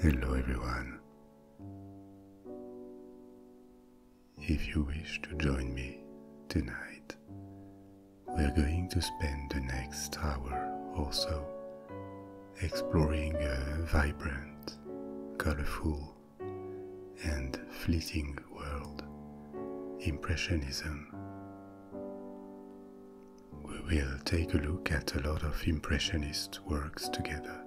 Hello everyone. If you wish to join me tonight, we're going to spend the next hour or so exploring a vibrant, colorful, and fleeting world, Impressionism we will take a look at a lot of Impressionist works together.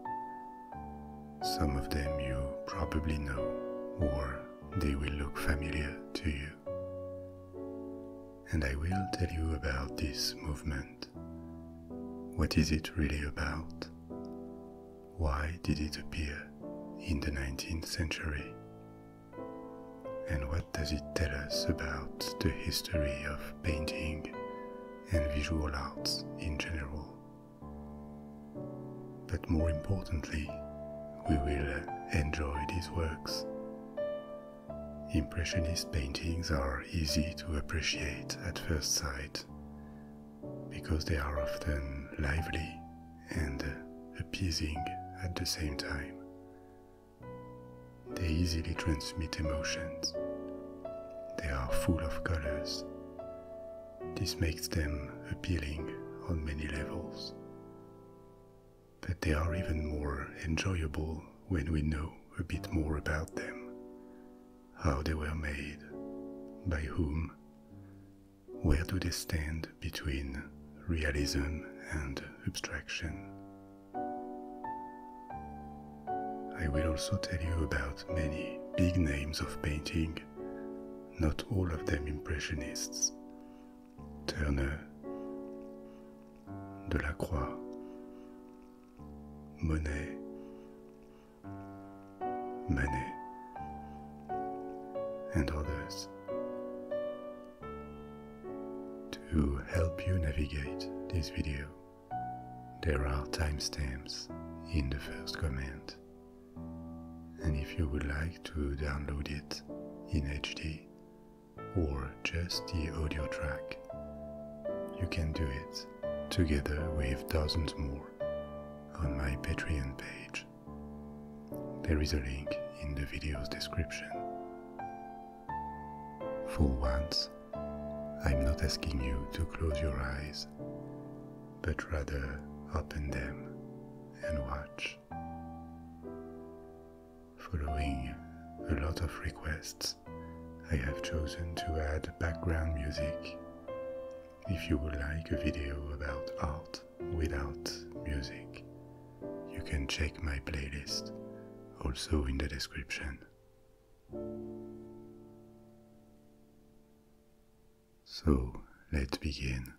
Some of them you probably know, or they will look familiar to you. And I will tell you about this movement. What is it really about? Why did it appear in the 19th century? And what does it tell us about the history of painting and visual arts in general? But more importantly, we will uh, enjoy these works. Impressionist paintings are easy to appreciate at first sight because they are often lively and uh, appeasing at the same time, they easily transmit emotions. They are full of colors. This makes them appealing on many levels. But they are even more enjoyable when we know a bit more about them, how they were made, by whom, where do they stand between realism and abstraction. I will also tell you about many big names of painting, not all of them impressionists. Turner, Delacroix, Monet, Manet, and others. To help you navigate this video, there are timestamps in the first comment. And if you would like to download it in HD or just the audio track, you can do it together with dozens more on my Patreon page. There is a link in the video's description. For once, I'm not asking you to close your eyes, but rather open them and watch. Following a lot of requests, I have chosen to add background music. If you would like a video about art without music, you can check my playlist, also in the description. So let's begin.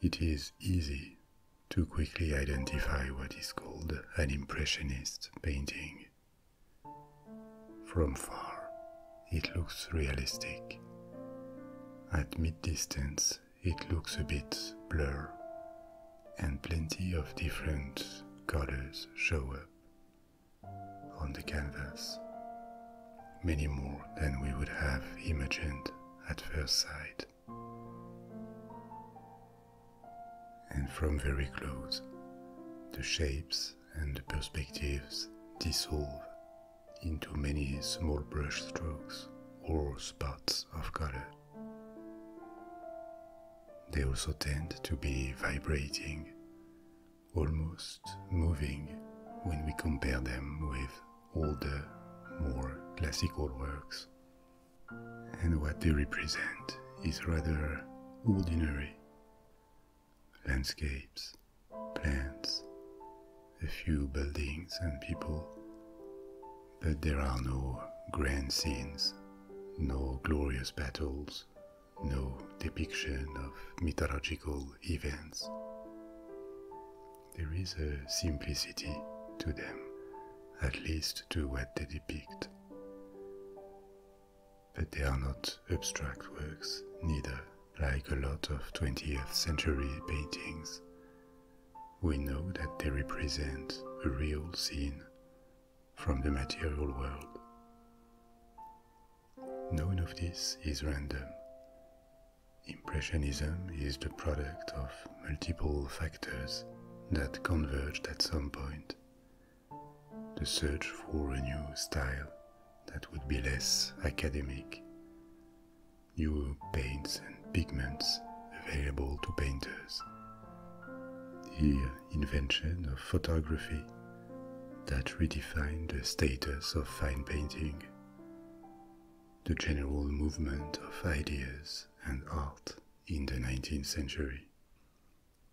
It is easy to quickly identify what is called an impressionist painting. From far, it looks realistic. At mid distance, it looks a bit blur, and plenty of different colors show up on the canvas, many more than we would have imagined at first sight. And from very close, the shapes and perspectives dissolve into many small brushstrokes or spots of color. They also tend to be vibrating, almost moving, when we compare them with older, more classical works. And what they represent is rather ordinary landscapes, plants, a few buildings and people, but there are no grand scenes, no glorious battles, no depiction of mythological events. There is a simplicity to them, at least to what they depict. But they are not abstract works, neither, like a lot of 20th century paintings we know that they represent a real scene from the material world. None of this is random. Impressionism is the product of multiple factors that converged at some point. The search for a new style that would be less academic, new paints and pigments available to painters. The invention of photography that redefined the status of fine painting, the general movement of ideas and art in the 19th century,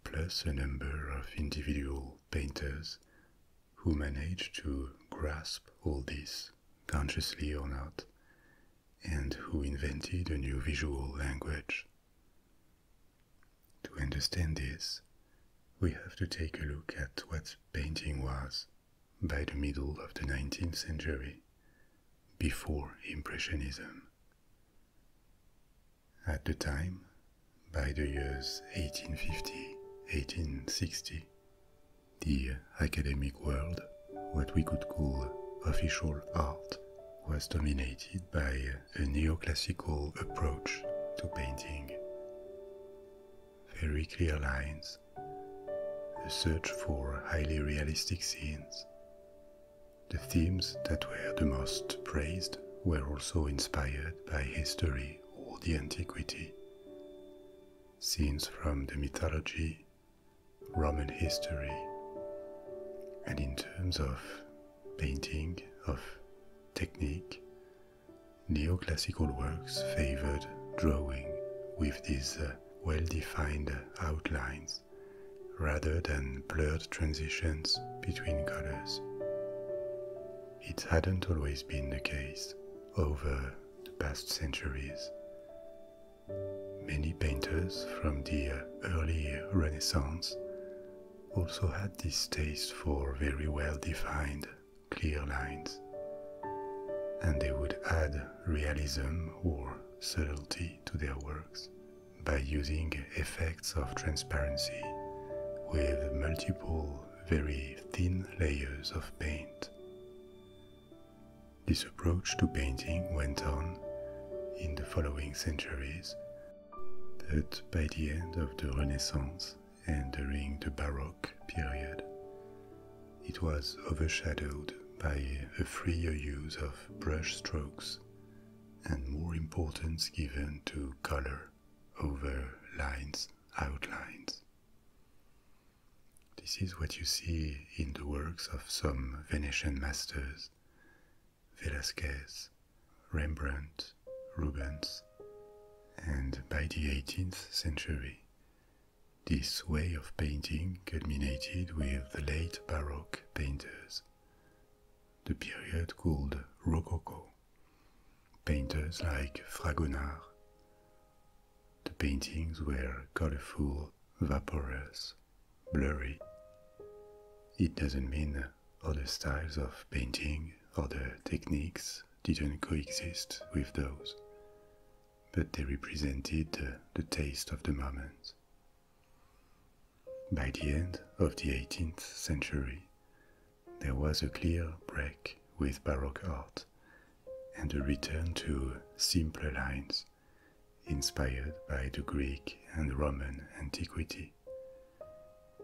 plus a number of individual painters who managed to grasp all this, consciously or not, and who invented a new visual language. To understand this, we have to take a look at what painting was by the middle of the 19th century, before Impressionism. At the time, by the years 1850 1860, the academic world, what we could call official art, was dominated by a neoclassical approach to painting. Very clear lines, a search for highly realistic scenes. The themes that were the most praised were also inspired by history or the antiquity. Scenes from the mythology, Roman history, and in terms of painting, of technique, neoclassical works favored drawing with these uh, well defined outlines rather than blurred transitions between colors. It hadn't always been the case over the past centuries. Many painters from the early Renaissance also had this taste for very well defined, clear lines, and they would add realism or subtlety to their works by using effects of transparency with multiple very thin layers of paint. This approach to painting went on in the following centuries, but by the end of the Renaissance and during the Baroque period, it was overshadowed by a freer use of brush strokes and more importance given to color over lines, outlines. This is what you see in the works of some Venetian masters Velázquez, Rembrandt, Rubens. And by the 18th century, this way of painting culminated with the late Baroque painters, the period called Rococo. Painters like Fragonard, the paintings were colorful, vaporous, blurry. It doesn't mean other styles of painting, or the techniques didn't coexist with those, but they represented the taste of the moment. By the end of the 18th century, there was a clear break with Baroque art and a return to simpler lines inspired by the Greek and Roman antiquity.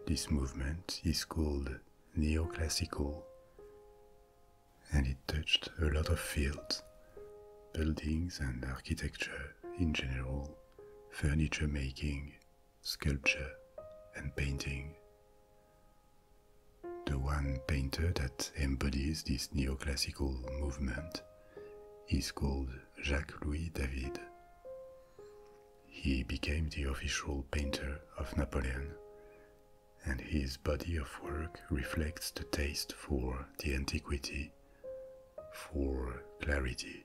This movement is called neoclassical and it touched a lot of fields, buildings and architecture in general, furniture making, sculpture and painting. The one painter that embodies this neoclassical movement is called Jacques Louis David. He became the official painter of Napoleon, and his body of work reflects the taste for the antiquity, for clarity.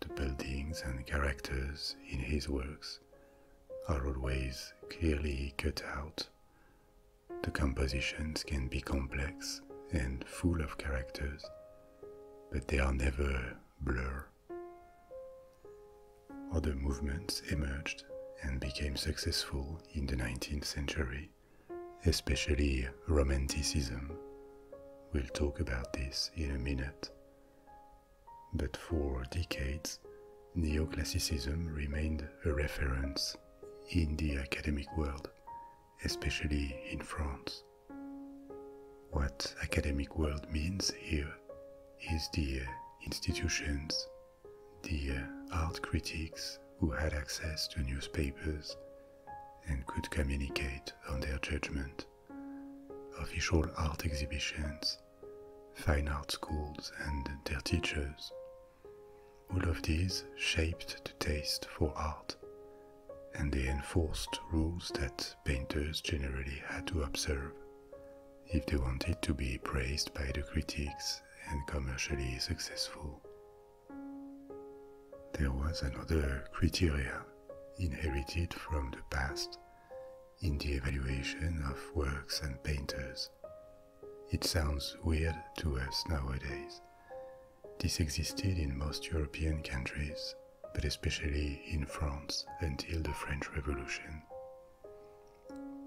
The buildings and characters in his works are always clearly cut out the compositions can be complex and full of characters, but they are never blur. Other movements emerged and became successful in the 19th century, especially Romanticism. We'll talk about this in a minute. But for decades, Neoclassicism remained a reference in the academic world, especially in France. What academic world means here is the uh, institutions, the uh, art critics who had access to newspapers and could communicate on their judgment, official art exhibitions, fine art schools and their teachers all of these shaped the taste for art, and they enforced rules that painters generally had to observe if they wanted to be praised by the critics and commercially successful. There was another criteria inherited from the past in the evaluation of works and painters, it sounds weird to us nowadays. This existed in most European countries, but especially in France until the French Revolution.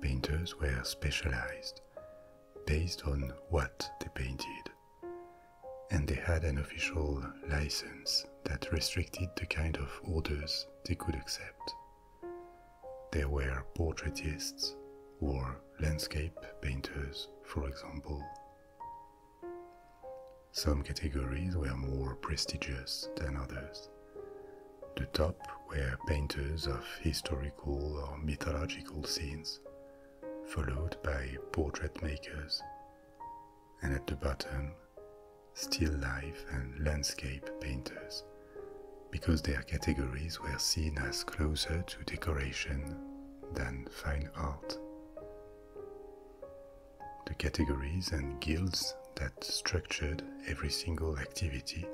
Painters were specialized based on what they painted, and they had an official license that restricted the kind of orders they could accept. There were portraitists or landscape painters, for example. Some categories were more prestigious than others. The top were painters of historical or mythological scenes, followed by portrait makers, and at the bottom, still life and landscape painters because their categories were seen as closer to decoration than fine art. The categories and guilds that structured every single activity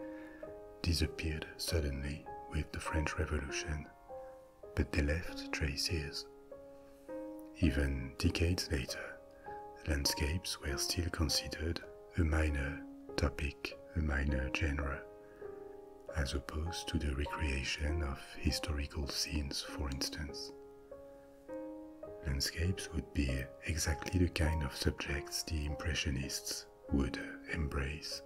disappeared suddenly with the French Revolution, but they left traces. Even decades later, landscapes were still considered a minor topic, a minor genre as opposed to the recreation of historical scenes, for instance. Landscapes would be exactly the kind of subjects the Impressionists would embrace,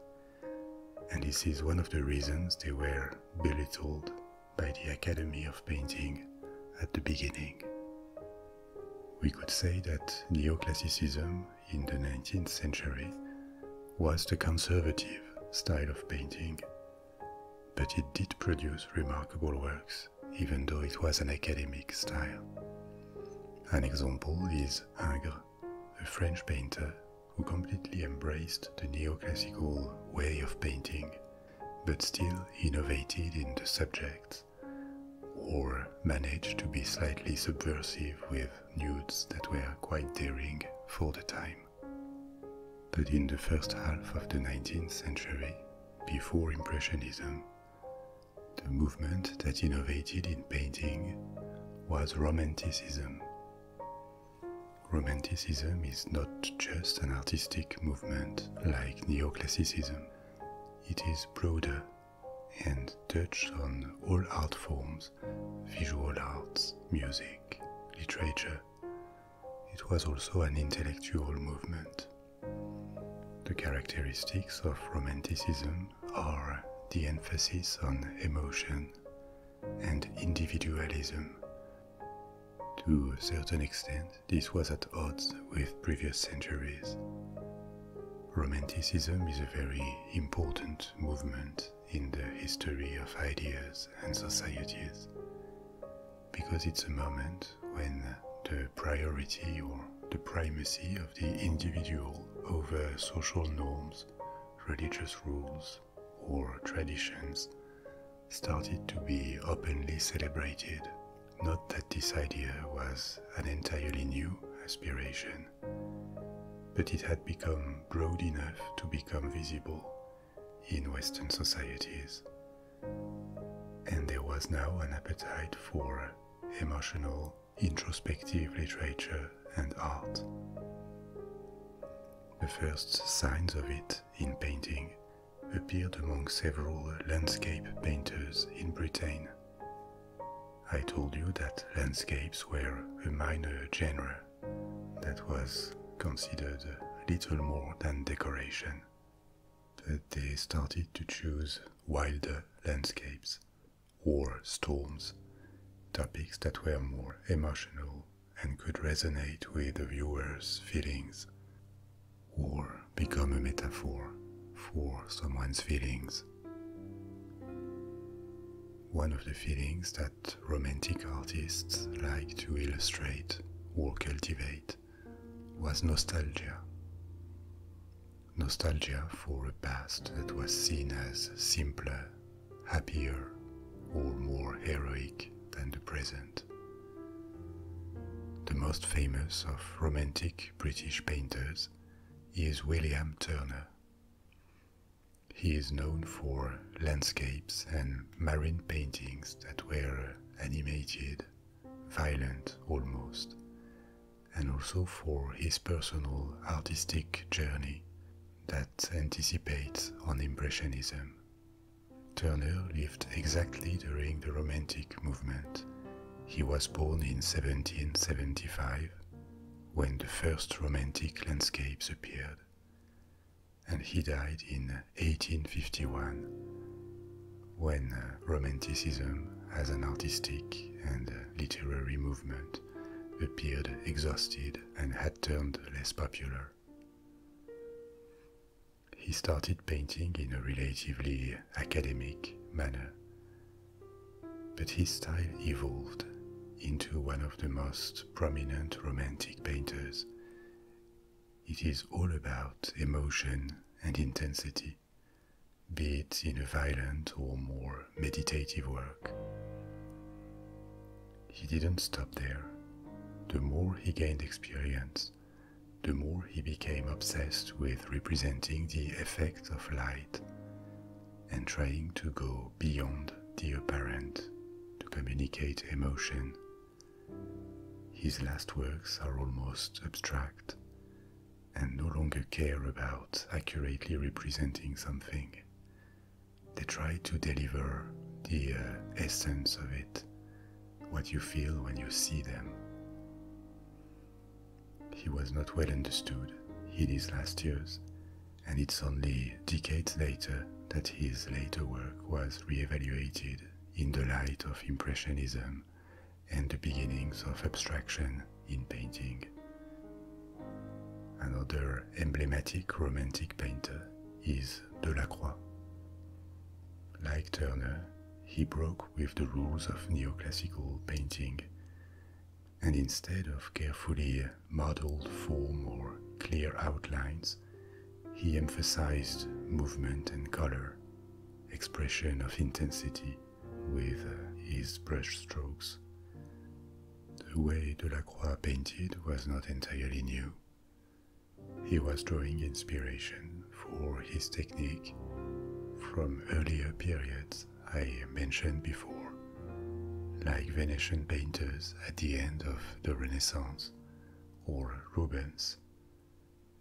and this is one of the reasons they were belittled by the Academy of Painting at the beginning. We could say that neoclassicism in the 19th century was the conservative style of painting, but it did produce remarkable works, even though it was an academic style. An example is Ingres, a French painter who completely embraced the neoclassical way of painting, but still innovated in the subjects, or managed to be slightly subversive with nudes that were quite daring for the time. But in the first half of the 19th century, before Impressionism, the movement that innovated in painting was Romanticism. Romanticism is not just an artistic movement like Neoclassicism, it is broader and touched on all art forms visual arts, music, literature. It was also an intellectual movement. The characteristics of Romanticism are the emphasis on emotion and individualism. To a certain extent, this was at odds with previous centuries. Romanticism is a very important movement in the history of ideas and societies because it's a moment when the priority or the primacy of the individual over social norms, religious rules, or traditions started to be openly celebrated. Not that this idea was an entirely new aspiration but it had become broad enough to become visible in Western societies. And there was now an appetite for emotional, introspective literature and art. The first signs of it in painting appeared among several landscape painters in Britain, I told you that landscapes were a minor genre that was considered little more than decoration, but they started to choose wilder landscapes, or storms, topics that were more emotional and could resonate with the viewer's feelings. or become a metaphor for someone's feelings one of the feelings that romantic artists like to illustrate or cultivate was nostalgia. Nostalgia for a past that was seen as simpler, happier, or more heroic than the present. The most famous of romantic British painters is William Turner, he is known for landscapes and marine paintings that were animated, violent almost, and also for his personal artistic journey that anticipates on Impressionism. Turner lived exactly during the Romantic movement. He was born in 1775 when the first romantic landscapes appeared, and he died in 1851 when uh, Romanticism as an artistic and uh, literary movement appeared exhausted and had turned less popular. He started painting in a relatively academic manner but his style evolved into one of the most prominent romantic painters. It is all about emotion and intensity, be it in a violent or more meditative work. He didn't stop there. The more he gained experience, the more he became obsessed with representing the effect of light and trying to go beyond the apparent to communicate emotion. His last works are almost abstract and no longer care about accurately representing something. They try to deliver the uh, essence of it, what you feel when you see them. He was not well understood in his last years, and it's only decades later that his later work was reevaluated in the light of Impressionism and the beginnings of abstraction in painting. Another emblematic Romantic painter is Delacroix. Like Turner, he broke with the rules of neoclassical painting and instead of carefully modeled form or clear outlines, he emphasized movement and color, expression of intensity with uh, his brushstrokes. The way Delacroix painted was not entirely new. He was drawing inspiration for his technique from earlier periods I mentioned before, like Venetian painters at the end of the Renaissance or Rubens,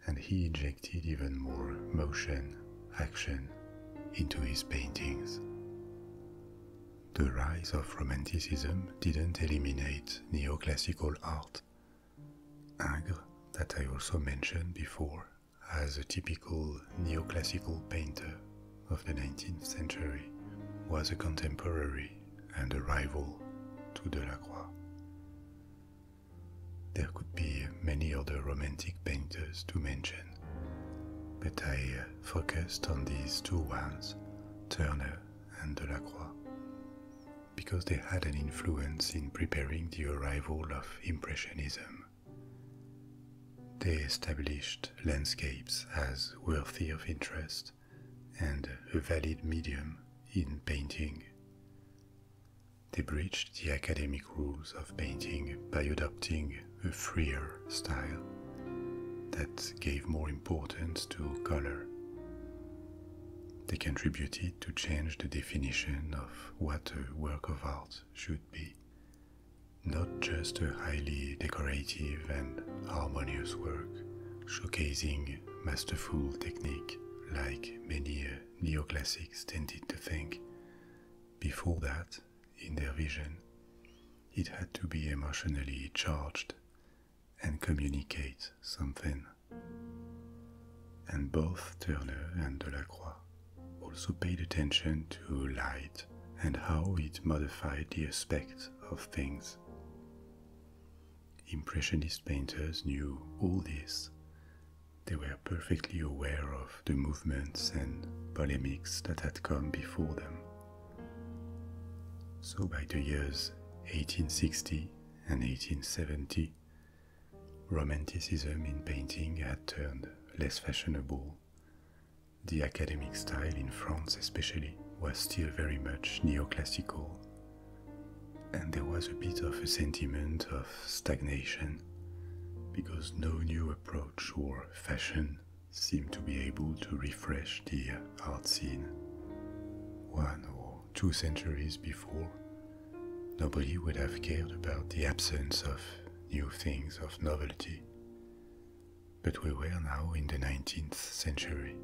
and he injected even more motion, action into his paintings. The rise of Romanticism didn't eliminate neoclassical art. Ingres, that I also mentioned before, as a typical neoclassical painter of the 19th century, was a contemporary and a rival to Delacroix. There could be many other Romantic painters to mention, but I uh, focused on these two ones, Turner and Delacroix, because they had an influence in preparing the arrival of Impressionism they established landscapes as worthy of interest and a valid medium in painting. They breached the academic rules of painting by adopting a freer style that gave more importance to color. They contributed to change the definition of what a work of art should be not just a highly decorative and harmonious work showcasing masterful technique like many neoclassics tended to think. Before that, in their vision, it had to be emotionally charged and communicate something. And both Turner and Delacroix also paid attention to light and how it modified the aspects of things. Impressionist painters knew all this. They were perfectly aware of the movements and polemics that had come before them. So by the years 1860 and 1870, Romanticism in painting had turned less fashionable the academic style in France, especially, was still very much neoclassical, and there was a bit of a sentiment of stagnation because no new approach or fashion seemed to be able to refresh the art scene. One or two centuries before, nobody would have cared about the absence of new things of novelty. But we were now in the 19th century.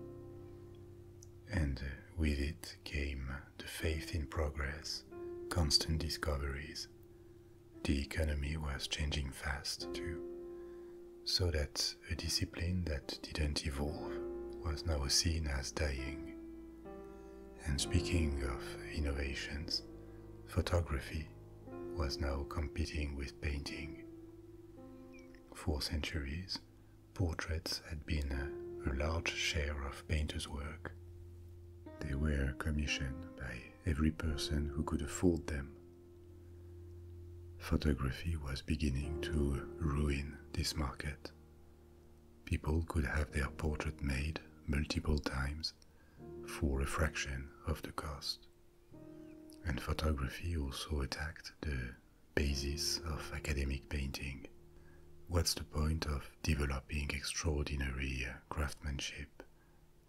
And with it came the faith in progress, constant discoveries. The economy was changing fast too, so that a discipline that didn't evolve was now seen as dying. And speaking of innovations, photography was now competing with painting. For centuries, portraits had been a, large share of painters' work. They were commissioned by every person who could afford them. Photography was beginning to ruin this market. People could have their portrait made multiple times for a fraction of the cost. And photography also attacked the basis of academic painting. What's the point of developing extraordinary craftsmanship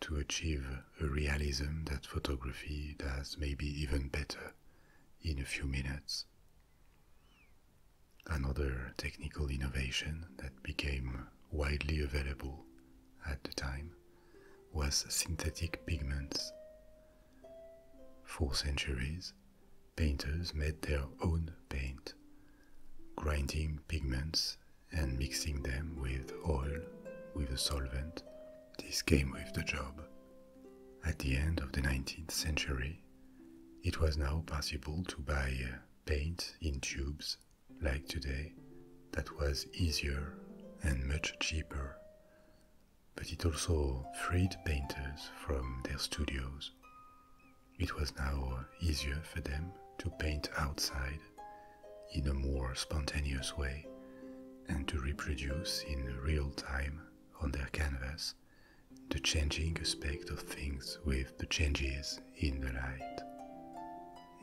to achieve a realism that photography does maybe even better in a few minutes? Another technical innovation that became widely available at the time was synthetic pigments. For centuries, painters made their own paint, grinding pigments and mixing them with oil, with a solvent. This came with the job. At the end of the 19th century, it was now possible to buy uh, paint in tubes like today, that was easier and much cheaper. But it also freed painters from their studios. It was now easier for them to paint outside in a more spontaneous way and to reproduce in real time on their canvas the changing aspect of things with the changes in the light.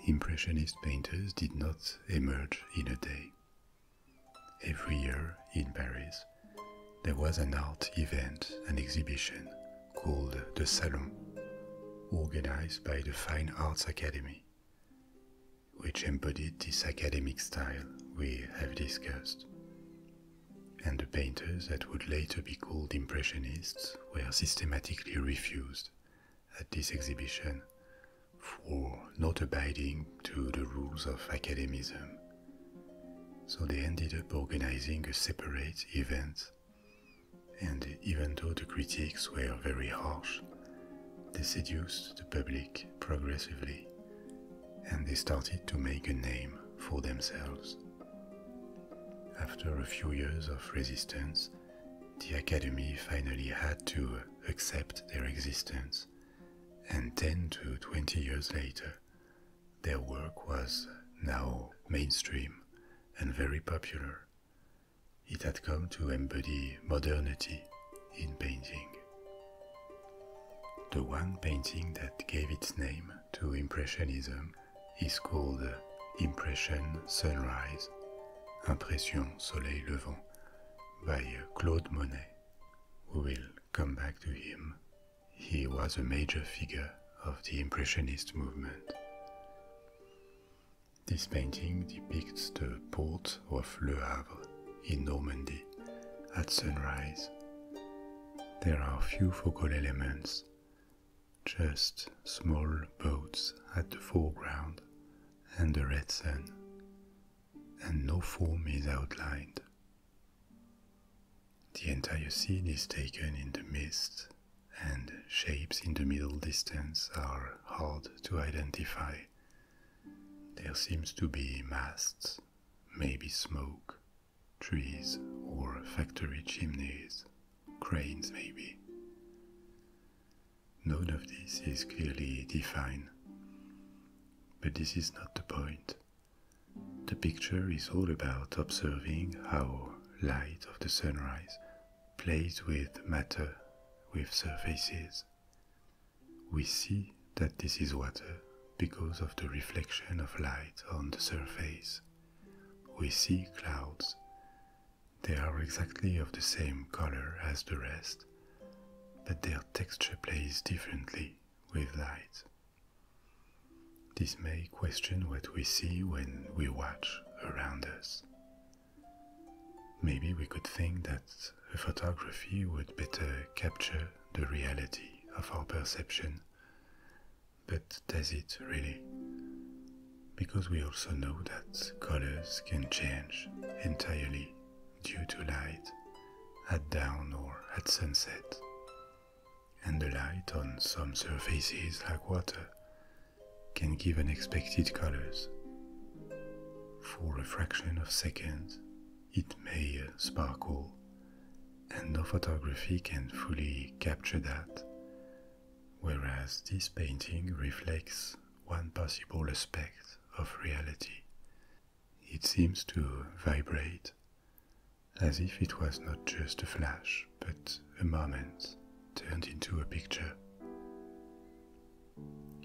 Impressionist painters did not emerge in a day. Every year in Paris, there was an art event, an exhibition called the Salon, organized by the Fine Arts Academy, which embodied this academic style we have discussed. And the painters that would later be called Impressionists were systematically refused at this exhibition for not abiding to the rules of academism. So they ended up organizing a separate event, and even though the critics were very harsh, they seduced the public progressively, and they started to make a name for themselves. After a few years of resistance, the Academy finally had to accept their existence, and 10 to 20 years later, their work was now mainstream and very popular. It had come to embody modernity in painting. The one painting that gave its name to Impressionism is called Impression Sunrise, Impression Soleil Levant, by Claude Monet. We will come back to him. He was a major figure of the Impressionist movement. This painting depicts the port of Le Havre in Normandy at sunrise. There are few focal elements, just small boats at the foreground and the red sun, and no form is outlined. The entire scene is taken in the mist, and shapes in the middle distance are hard to identify. There seems to be masts, maybe smoke, trees, or factory chimneys cranes maybe. None of this is clearly defined, but this is not the point. The picture is all about observing how light of the sunrise plays with matter, with surfaces. We see that this is water because of the reflection of light on the surface. We see clouds they are exactly of the same color as the rest, but their texture plays differently with light. This may question what we see when we watch around us. Maybe we could think that photography would better capture the reality of our perception, but does it really? because we also know that colors can change entirely due to light at dawn or at sunset. And the light on some surfaces like water can give unexpected colors. For a fraction of seconds, it may sparkle, and no photography can fully capture that whereas this painting reflects one possible aspect of reality. It seems to vibrate as if it was not just a flash, but a moment turned into a picture.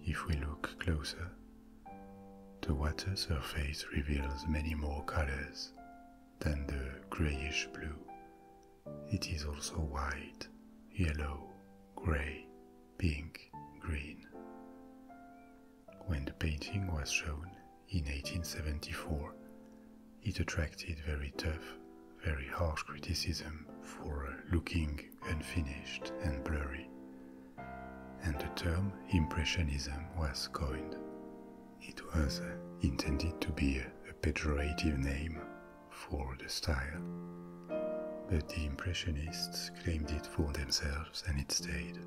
If we look closer, the water surface reveals many more colors than the grayish blue it is also white, yellow, grey, pink, green. When the painting was shown in 1874, it attracted very tough, very harsh criticism for looking unfinished and blurry, and the term Impressionism was coined. It was intended to be a pejorative name for the style, but the Impressionists claimed it for themselves and it stayed.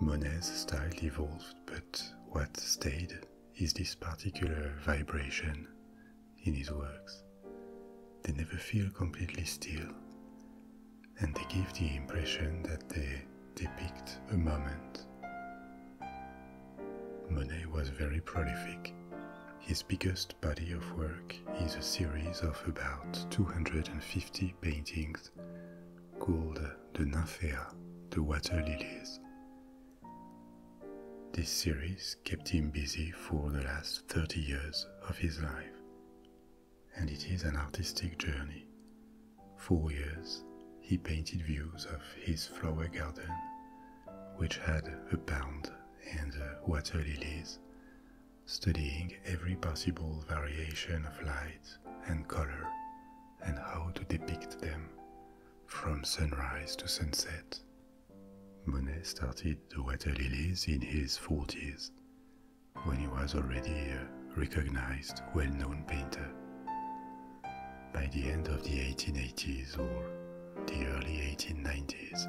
Monet's style evolved, but what stayed is this particular vibration in his works. They never feel completely still, and they give the impression that they depict a moment. Monet was very prolific. His biggest body of work is a series of about 250 paintings called the Nymphea, the Water Lilies. This series kept him busy for the last 30 years of his life, and it is an artistic journey. For years, he painted views of his flower garden which had a pond and water lilies, studying every possible variation of light and color and how to depict them from sunrise to sunset. Monet started the water lilies in his 40s when he was already a recognized well known painter. By the end of the 1880s or the early 1890s,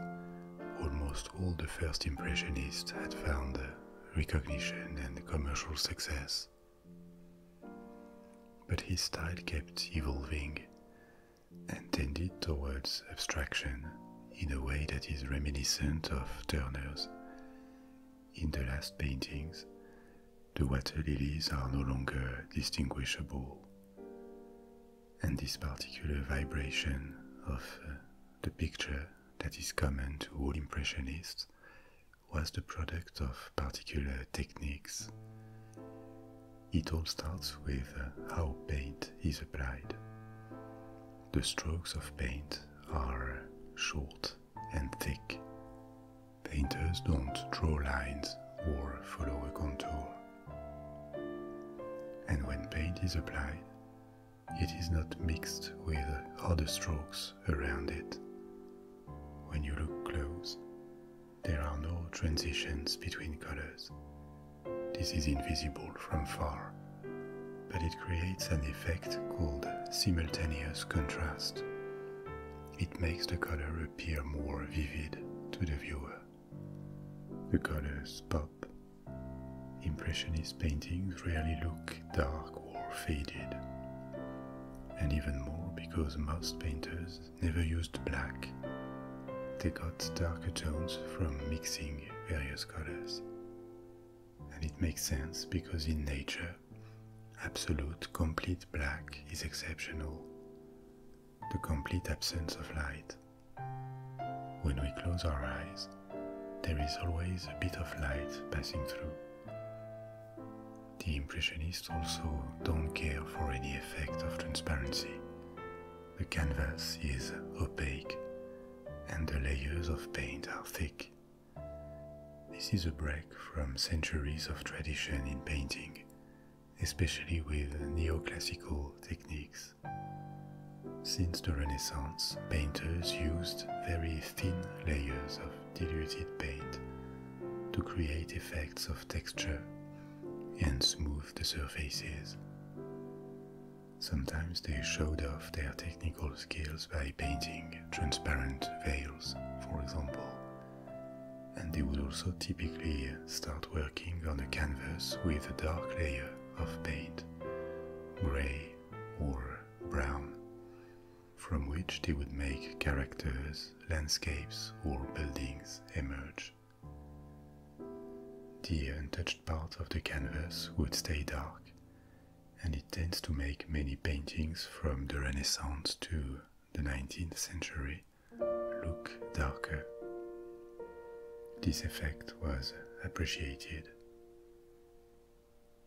almost all the first Impressionists had found recognition and commercial success. But his style kept evolving and tended towards abstraction in a way that is reminiscent of Turner's. In the last paintings, the water lilies are no longer distinguishable. And this particular vibration of uh, the picture that is common to all Impressionists was the product of particular techniques. It all starts with uh, how paint is applied. The strokes of paint are short and thick, Painters don't draw lines or follow a contour. And when paint is applied, it is not mixed with other strokes around it. When you look close, there are no transitions between colors. This is invisible from far, but it creates an effect called simultaneous contrast. It makes the color appear more vivid to the viewer. The colors pop. Impressionist paintings rarely look dark or faded. And even more because most painters never used black. They got darker tones from mixing various colors. And it makes sense because in nature, absolute complete black is exceptional, the complete absence of light. When we close our eyes, there is always a bit of light passing through. The Impressionists also don't care for any effect of transparency. The canvas is opaque and the layers of paint are thick. This is a break from centuries of tradition in painting especially with neoclassical techniques. Since the Renaissance, painters used very thin layers of diluted paint to create effects of texture and smooth the surfaces. Sometimes they showed off their technical skills by painting transparent veils, for example, and they would also typically start working on a canvas with a dark layer of paint, grey or brown, from which they would make characters, landscapes, or buildings emerge. The untouched part of the canvas would stay dark, and it tends to make many paintings from the Renaissance to the 19th century look darker. This effect was appreciated.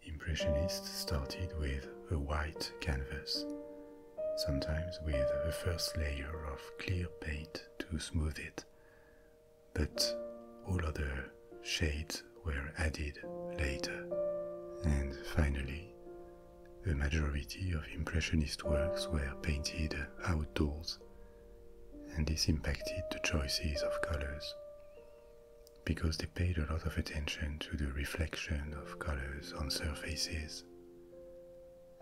Impressionists started with a white canvas, sometimes with a first layer of clear paint to smooth it, but all other shades were added later. And finally, the majority of Impressionist works were painted outdoors, and this impacted the choices of colors because they paid a lot of attention to the reflection of colors on surfaces.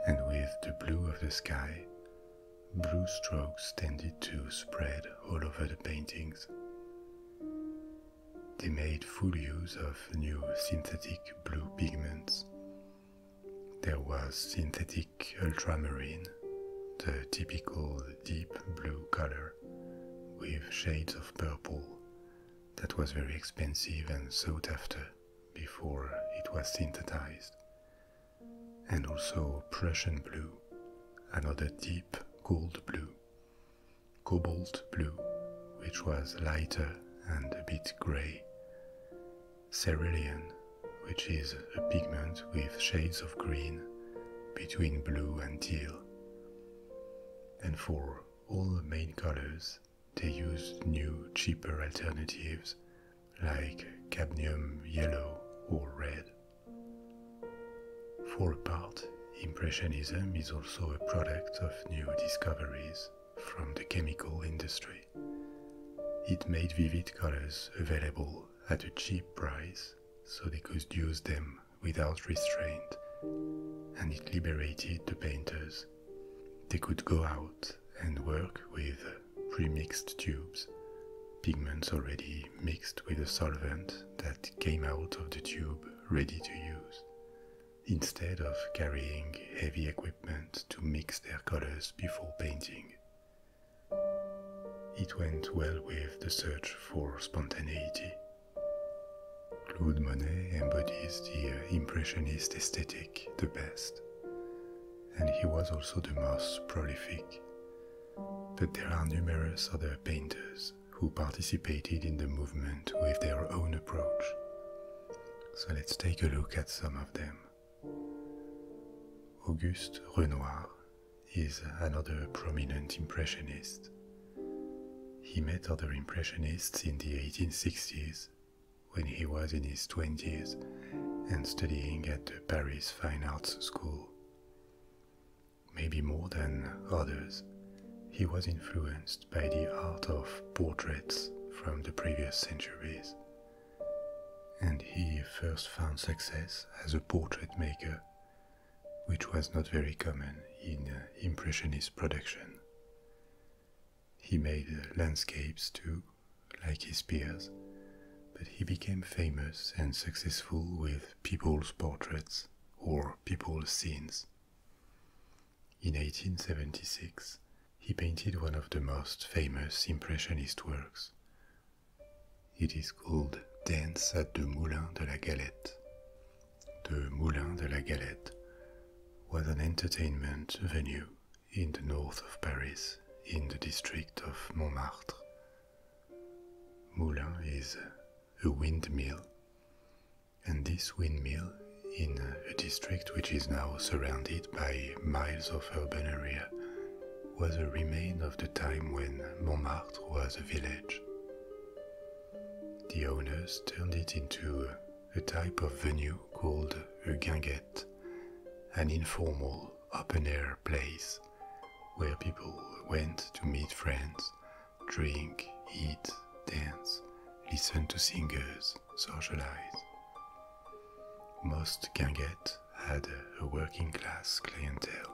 And with the blue of the sky, blue strokes tended to spread all over the paintings. They made full use of new synthetic blue pigments there was synthetic ultramarine, the typical deep blue color with shades of purple that was very expensive and sought after before it was synthesized, and also Prussian blue, another deep cold blue, cobalt blue, which was lighter and a bit grey. Cerulean, which is a pigment with shades of green between blue and teal. And for all the main colors, they used new, cheaper alternatives like cadmium yellow or red. For a part, Impressionism is also a product of new discoveries from the chemical industry. It made vivid colors available at a cheap price so they could use them without restraint, and it liberated the painters. They could go out and work with pre-mixed tubes, pigments already mixed with a solvent that came out of the tube ready to use instead of carrying heavy equipment to mix their colors before painting. It went well with the search for spontaneity. Claude Monet embodies the uh, Impressionist aesthetic the best, and he was also the most prolific. But there are numerous other painters who participated in the movement with their own approach so let's take a look at some of them. Auguste Renoir is another prominent Impressionist. He met other Impressionists in the 1860s when he was in his 20s and studying at the Paris Fine Arts School. Maybe more than others, he was influenced by the art of portraits from the previous centuries. And he first found success as a portrait maker, which was not very common in uh, Impressionist production. He made uh, landscapes too, like his peers, but he became famous and successful with people's portraits or people's scenes. In 1876, he painted one of the most famous Impressionist works. It is called Dance at the Moulin de la Galette. The Moulin de la Galette was an entertainment venue in the north of Paris, in the district of Montmartre. Moulin is a windmill and this windmill in a district which is now surrounded by miles of urban area was a remain of the time when Montmartre was a village. The owners turned it into a type of venue called a guinguette, an informal open-air place where people went to meet friends, drink, eat, dance, listen to singers, socialized. Most gangettes had a working class clientele.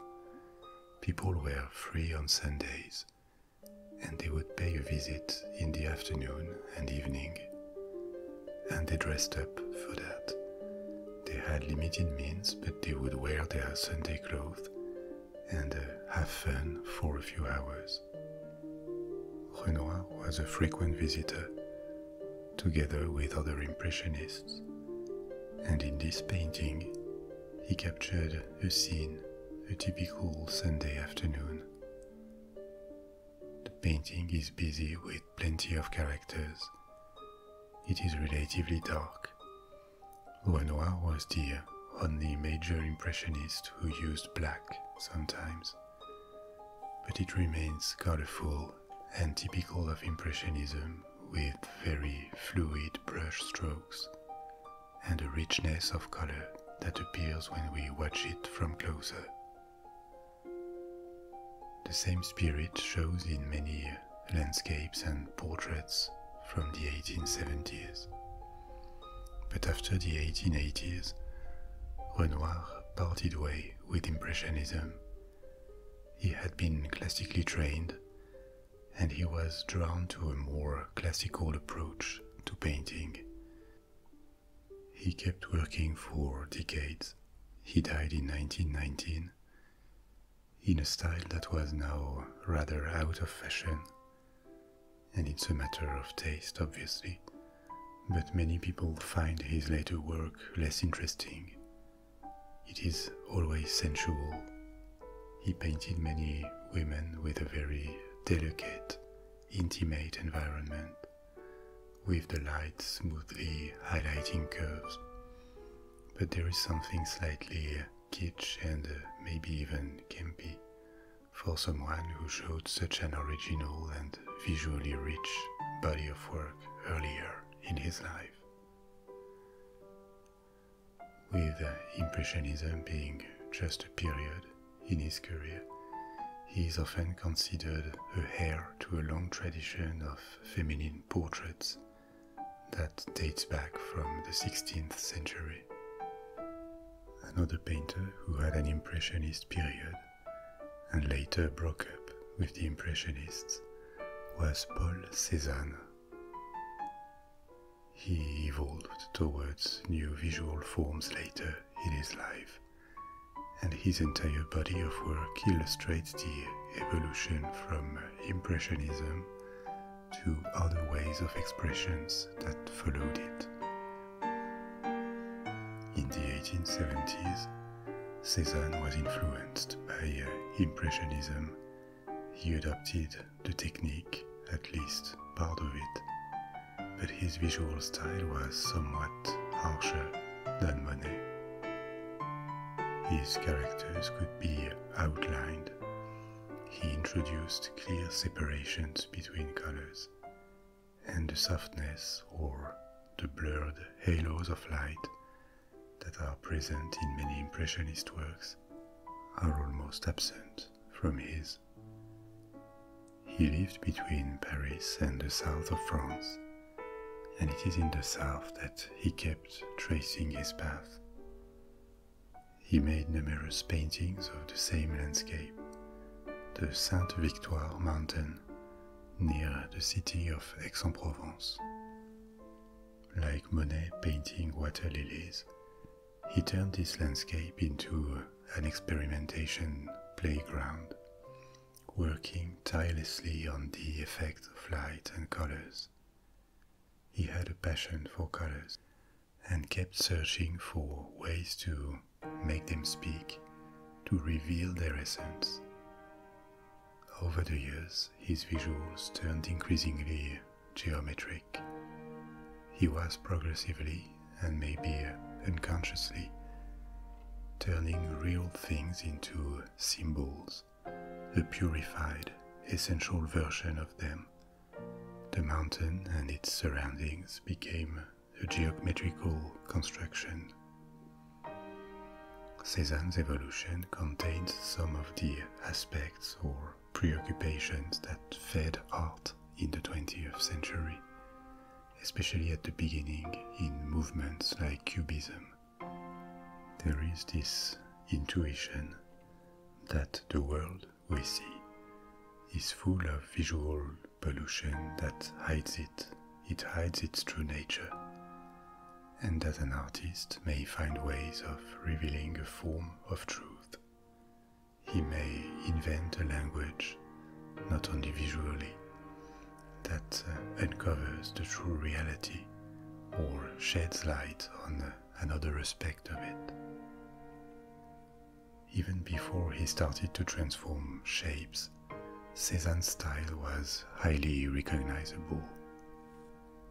People were free on Sundays and they would pay a visit in the afternoon and evening. And they dressed up for that. They had limited means, but they would wear their Sunday clothes and uh, have fun for a few hours years. Renoir was a frequent visitor, together with other Impressionists, and in this painting, he captured a scene, a typical Sunday afternoon. The painting is busy with plenty of characters. It is relatively dark. Renoir was the only major impressionist who used black sometimes, but it remains colorful and typical of Impressionism with very fluid brushstrokes and a richness of color that appears when we watch it from closer. The same spirit shows in many landscapes and portraits from the 1870s. But after the 1880s, Renoir parted way with Impressionism. He had been classically trained, and he was drawn to a more classical approach to painting. He kept working for decades. He died in 1919 in a style that was now rather out of fashion and it's a matter of taste, obviously, but many people find his later work less interesting. It is always sensual. He painted many women with a very delicate, intimate environment, with the light smoothly highlighting curves. But there is something slightly kitsch and uh, maybe even campy for someone who showed such an original and visually rich body of work earlier in his life. With Impressionism being just a period in his career, he is often considered a heir to a long tradition of feminine portraits that dates back from the 16th century. Another painter who had an Impressionist period and later broke up with the Impressionists, was Paul Cézanne. He evolved towards new visual forms later in his life, and his entire body of work illustrates the evolution from Impressionism to other ways of expressions that followed it, in the 1870s, Cézanne was influenced by uh, Impressionism. He adopted the technique, at least part of it, but his visual style was somewhat harsher than Monet. His characters could be outlined. He introduced clear separations between colors, and the softness or the blurred halos of light that are present in many Impressionist works are almost absent from his. He lived between Paris and the south of France, and it is in the south that he kept tracing his path. He made numerous paintings of the same landscape, the Sainte Victoire mountain near the city of Aix-en-Provence. Like Monet painting water lilies, he turned this landscape into an experimentation playground, working tirelessly on the effect of light and colors. He had a passion for colors and kept searching for ways to make them speak to reveal their essence. Over the years, his visuals turned increasingly geometric. He was progressively, and maybe unconsciously, turning real things into symbols, the purified, essential version of them. The mountain and its surroundings became a geometrical construction. Cézanne's evolution contains some of the aspects or preoccupations that fed art in the 20th century, especially at the beginning in movements like Cubism. There is this intuition that the world we see is full of visual pollution that hides it, it hides its true nature. And as an artist may find ways of revealing a form of truth. He may invent a language, not only visually, that uh, uncovers the true reality or sheds light on uh, another aspect of it. Even before he started to transform shapes, Cézanne's style was highly recognizable.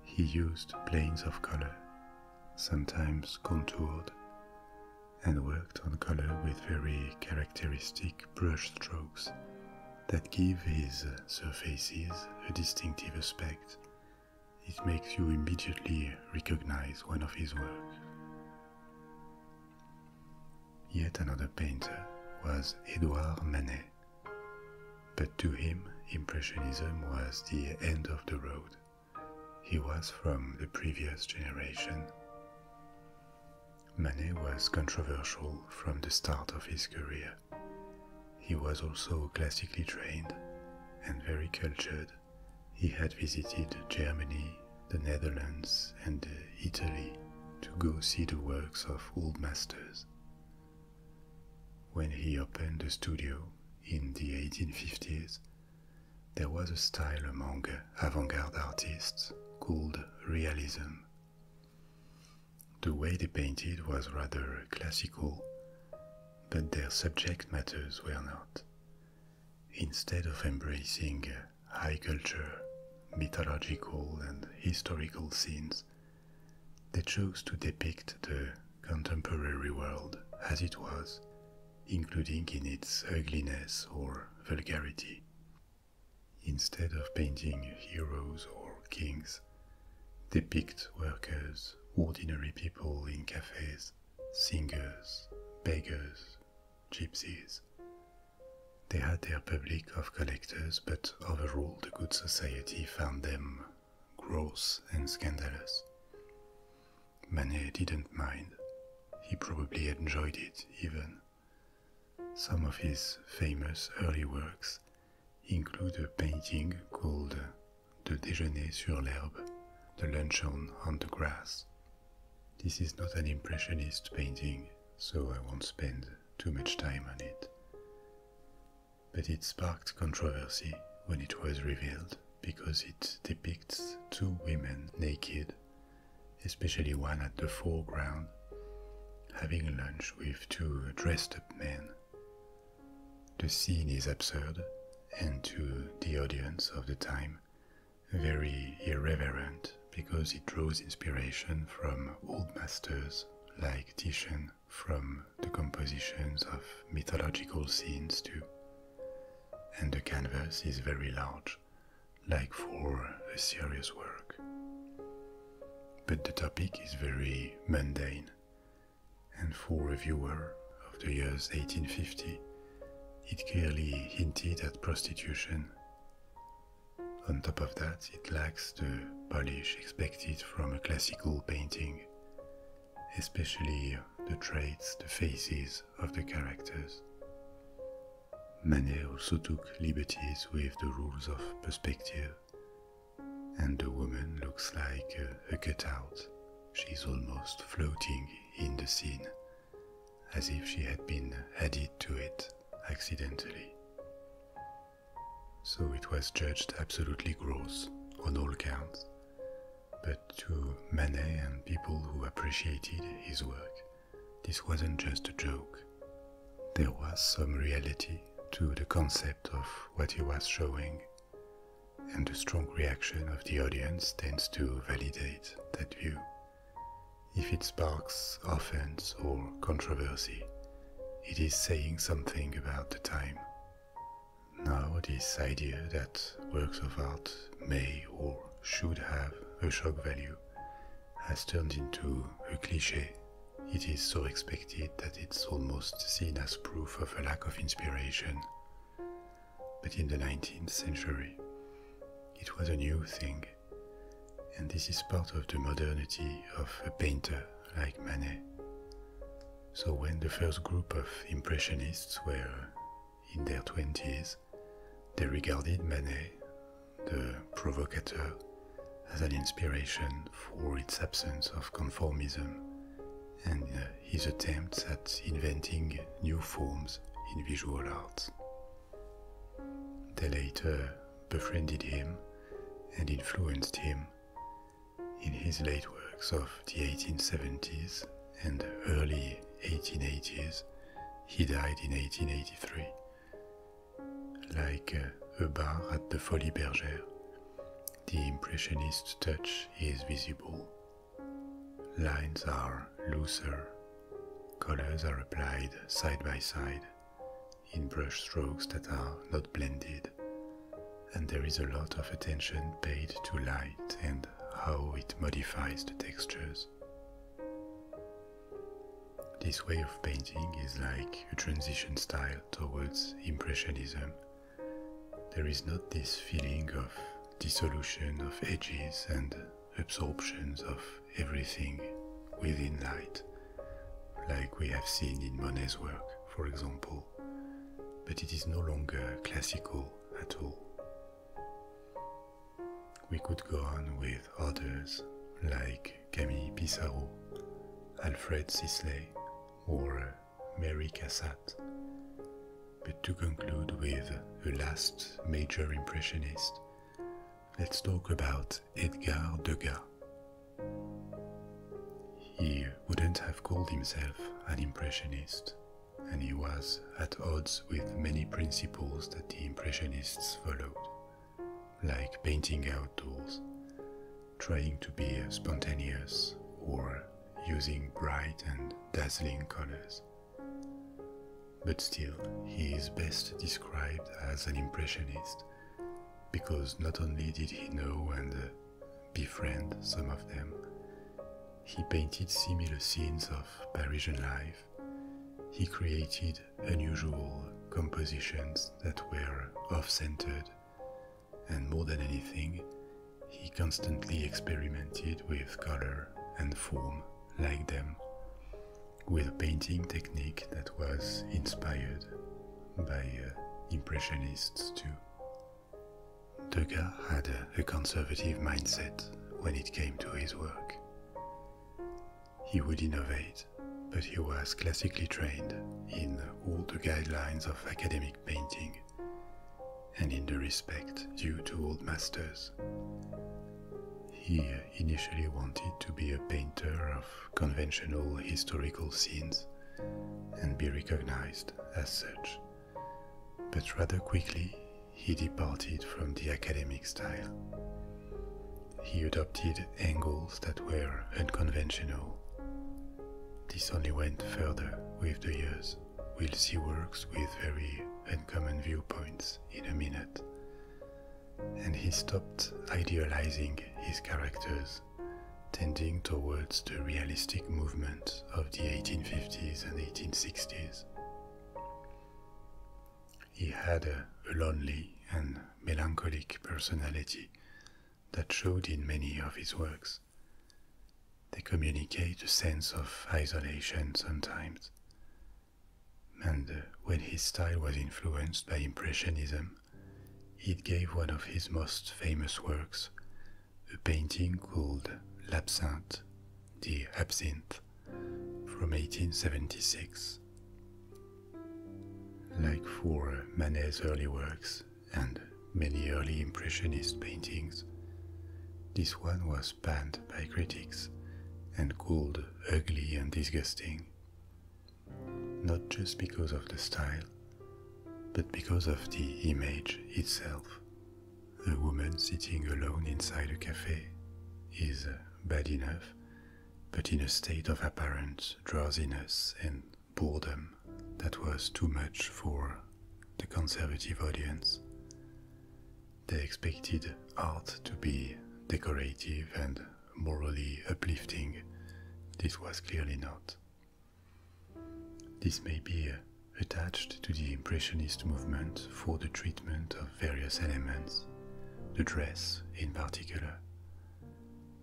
He used planes of color, sometimes contoured, and worked on color with very characteristic brushstrokes that give his surfaces a distinctive aspect. It makes you immediately recognize one of his works. Yet another painter was Edouard Manet, but to him Impressionism was the end of the road. He was from the previous generation. Manet was controversial from the start of his career. He was also classically trained and very cultured, he had visited Germany, the Netherlands, and Italy to go see the works of old masters. When he opened a studio in the 1850s, there was a style among avant-garde artists called realism. The way they painted was rather classical, but their subject matters were not. Instead of embracing high culture, mythological, and historical scenes, they chose to depict the contemporary world as it was, including in its ugliness or vulgarity. Instead of painting heroes or kings, they picked workers, ordinary people in cafes, singers, beggars, gypsies. They had their public of collectors, but overall the good society found them gross and scandalous. Manet didn't mind. He probably enjoyed it even. Some of his famous early works include a painting called *The déjeuner sur l'herbe, the luncheon on the grass, this is not an impressionist painting, so I won't spend too much time on it. But it sparked controversy when it was revealed because it depicts two women naked, especially one at the foreground, having lunch with two dressed up men. The scene is absurd, and to the audience of the time, very irreverent because it draws inspiration from old masters like Titian from the compositions of mythological scenes too. And the canvas is very large, like for a serious work. But the topic is very mundane, and for a viewer of the years 1850, it clearly hinted at prostitution. On top of that, it lacks the polish expected from a classical painting, especially the traits, the faces of the characters. Manet also took liberties with the rules of perspective, and the woman looks like a, cutout; she is almost floating in the scene as if she had been added to it accidentally. So it was judged absolutely gross on all counts, but to Manet and people who appreciated his work, this wasn't just a joke. There was some reality to the concept of what he was showing, and the strong reaction of the audience tends to validate that view. If it sparks offense or controversy, it is saying something about the time. Now, this idea that works of art may or should have a shock value has turned into a cliche. It is so expected that it's almost seen as proof of a lack of inspiration but in the 19th century, it was a new thing, and this is part of the modernity of a painter like Manet. So, when the first group of Impressionists were in their 20s, they regarded Manet, the provocateur, as an inspiration for its absence of conformism and uh, his attempts at inventing new forms in visual arts. They later befriended him and influenced him in his late works of the 1870s and early 1880s. He died in 1883, like Heubar uh, at the Folie Bergère. The Impressionist touch is visible. Lines are looser. Colors are applied side by side in brush strokes that are not blended, and there is a lot of attention paid to light and how it modifies the textures. This way of painting is like a transition style towards Impressionism. There is not this feeling of dissolution of edges and absorptions of everything within light, like we have seen in Monet's work, for example, but it is no longer classical at all. We could go on with others like Camille Pissarro, Alfred Sisley, or Mary Cassatt, but to conclude with a last major impressionist let's talk about Edgar Degas. He wouldn't have called himself an impressionist, and he was at odds with many principles that the impressionists followed, like painting outdoors, trying to be spontaneous, or using bright and dazzling colors. But still, he is best described as an impressionist, because not only did he know and uh, befriend some of them, he painted similar scenes of Parisian life. He created unusual compositions that were off centered, and more than anything, he constantly experimented with color and form like them, with a painting technique that was inspired by uh, Impressionists too. Degas had a conservative mindset when it came to his work. He would innovate, but he was classically trained in all the guidelines of academic painting and in the respect due to old masters. He initially wanted to be a painter of conventional historical scenes and be recognized as such, but rather quickly he departed from the academic style. He adopted angles that were unconventional. This only went further with the years. We'll see works with very uncommon viewpoints in a minute, and he stopped idealizing his characters, tending towards the realistic movement of the 1850s and 1860s. He had a, lonely and melancholic personality that showed in many of his works. They communicate a sense of isolation sometimes, and uh, when his style was influenced by Impressionism, it gave one of his most famous works, a painting called L'Absinthe, the Absinthe, from 1876. Like for Manet's early works and many early Impressionist paintings, this one was pan by critics and called ugly and disgusting, not just because of the style, but because of the image itself. A woman sitting alone inside a cafe is bad enough, but in a state of apparent drowsiness and boredom that was too much for the conservative audience. They expected art to be decorative and morally uplifting. This was clearly not. This may be attached to the Impressionist movement for the treatment of various elements, the dress in particular.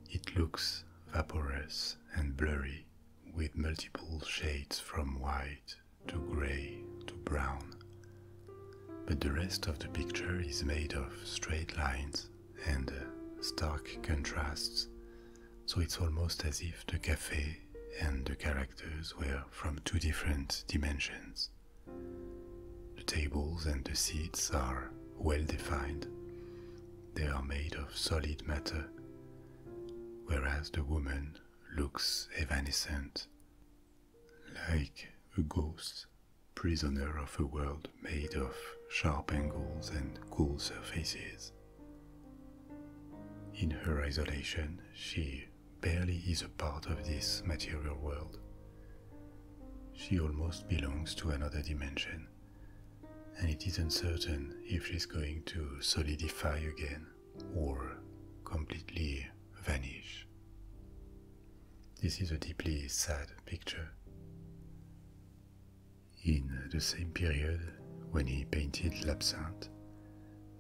It looks vaporous and blurry with multiple shades from white to gray to brown. But the rest of the picture is made of straight lines and uh, stark contrasts, so it's almost as if the cafe and the characters were from two different dimensions. The tables and the seats are well defined. They are made of solid matter, whereas the woman looks evanescent, like a ghost, prisoner of a world made of sharp angles and cool surfaces. In her isolation, she barely is a part of this material world. She almost belongs to another dimension, and it is uncertain if she's going to solidify again or completely vanish. This is a deeply sad picture. In the same period when he painted L'Absinthe,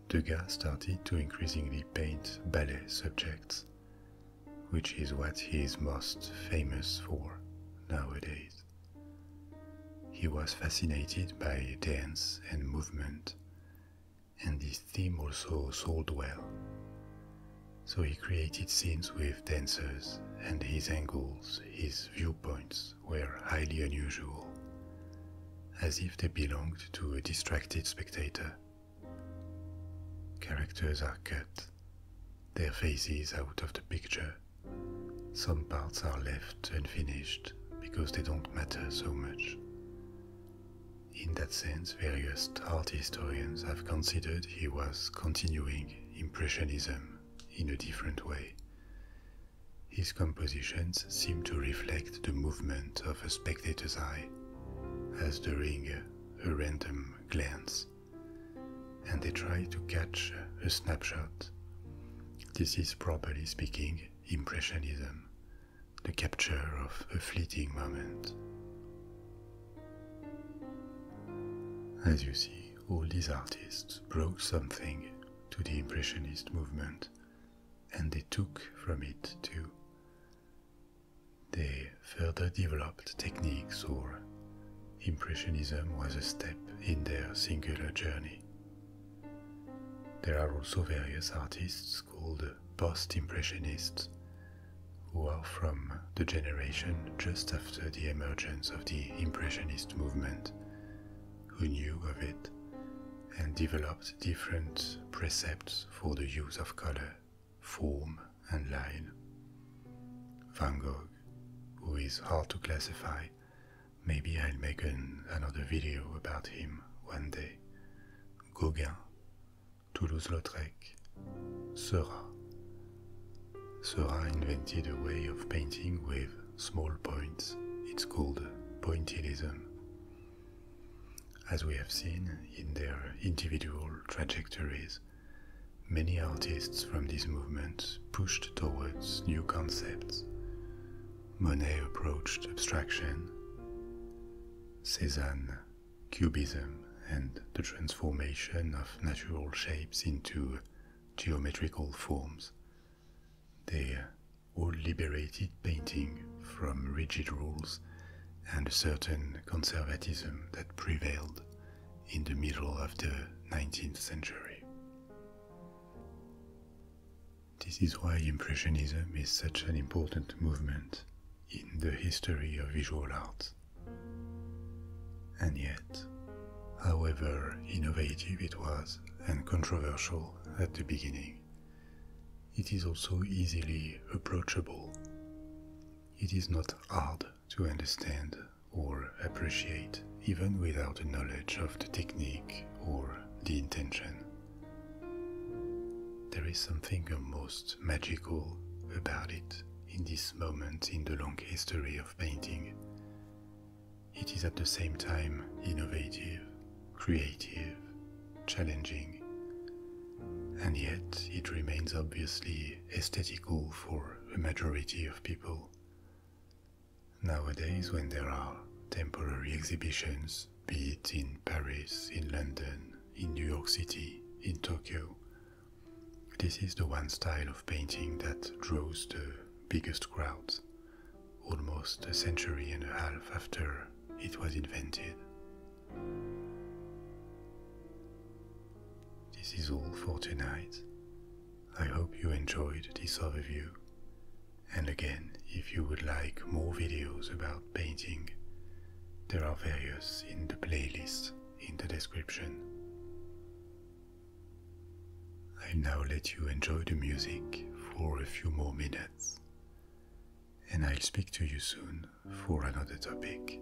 Degas started to increasingly paint ballet subjects, which is what he is most famous for nowadays. He was fascinated by dance and movement and his theme also sold well. So he created scenes with dancers, and his angles, his viewpoints were highly unusual, as if they belonged to a distracted spectator. Characters are cut, their faces out of the picture. Some parts are left unfinished because they don't matter so much. In that sense, various art historians have considered he was continuing Impressionism in a different way. His compositions seem to reflect the movement of a spectator's eye, as during a random glance, and they try to catch a snapshot. This is properly speaking Impressionism, the capture of a fleeting moment. As you see, all these artists brought something to the Impressionist movement, and they took from it too. They further developed techniques, or Impressionism was a step in their singular journey. There are also various artists called post-impressionists, who are from the generation just after the emergence of the impressionist movement, who knew of it and developed different precepts for the use of color, form, and line. Van Gogh, who is hard to classify, maybe I'll make another video about him one day. Gauguin, Toulouse-Lautrec, sera. Seurat invented a way of painting with small points. It's called pointillism. As we have seen in their individual trajectories, many artists from these movements pushed towards new concepts. Monet approached abstraction, Cézanne Cubism and the transformation of natural shapes into geometrical forms. They all liberated painting from rigid rules and a certain conservatism that prevailed in the middle of the 19th century. This is why Impressionism is such an important movement in the history of visual art. And yet, however innovative it was and controversial at the beginning, it is also easily approachable. It is not hard to understand or appreciate even without a knowledge of the technique or the intention. There is something almost magical about it in this moment in the long history of painting. It is at the same time innovative, creative, challenging, and yet it remains obviously aesthetical for a majority of people. Nowadays, when there are temporary exhibitions be it in Paris, in London, in New York City, in Tokyo. This is the one style of painting that draws the biggest crowds, almost a century and a half after it was invented. This is all for tonight. I hope you enjoyed this overview. And again, if you would like more videos about painting, there are various in the playlist in the description. I'll now let you enjoy the music for a few more minutes, and I'll speak to you soon for another topic.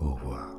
Au revoir.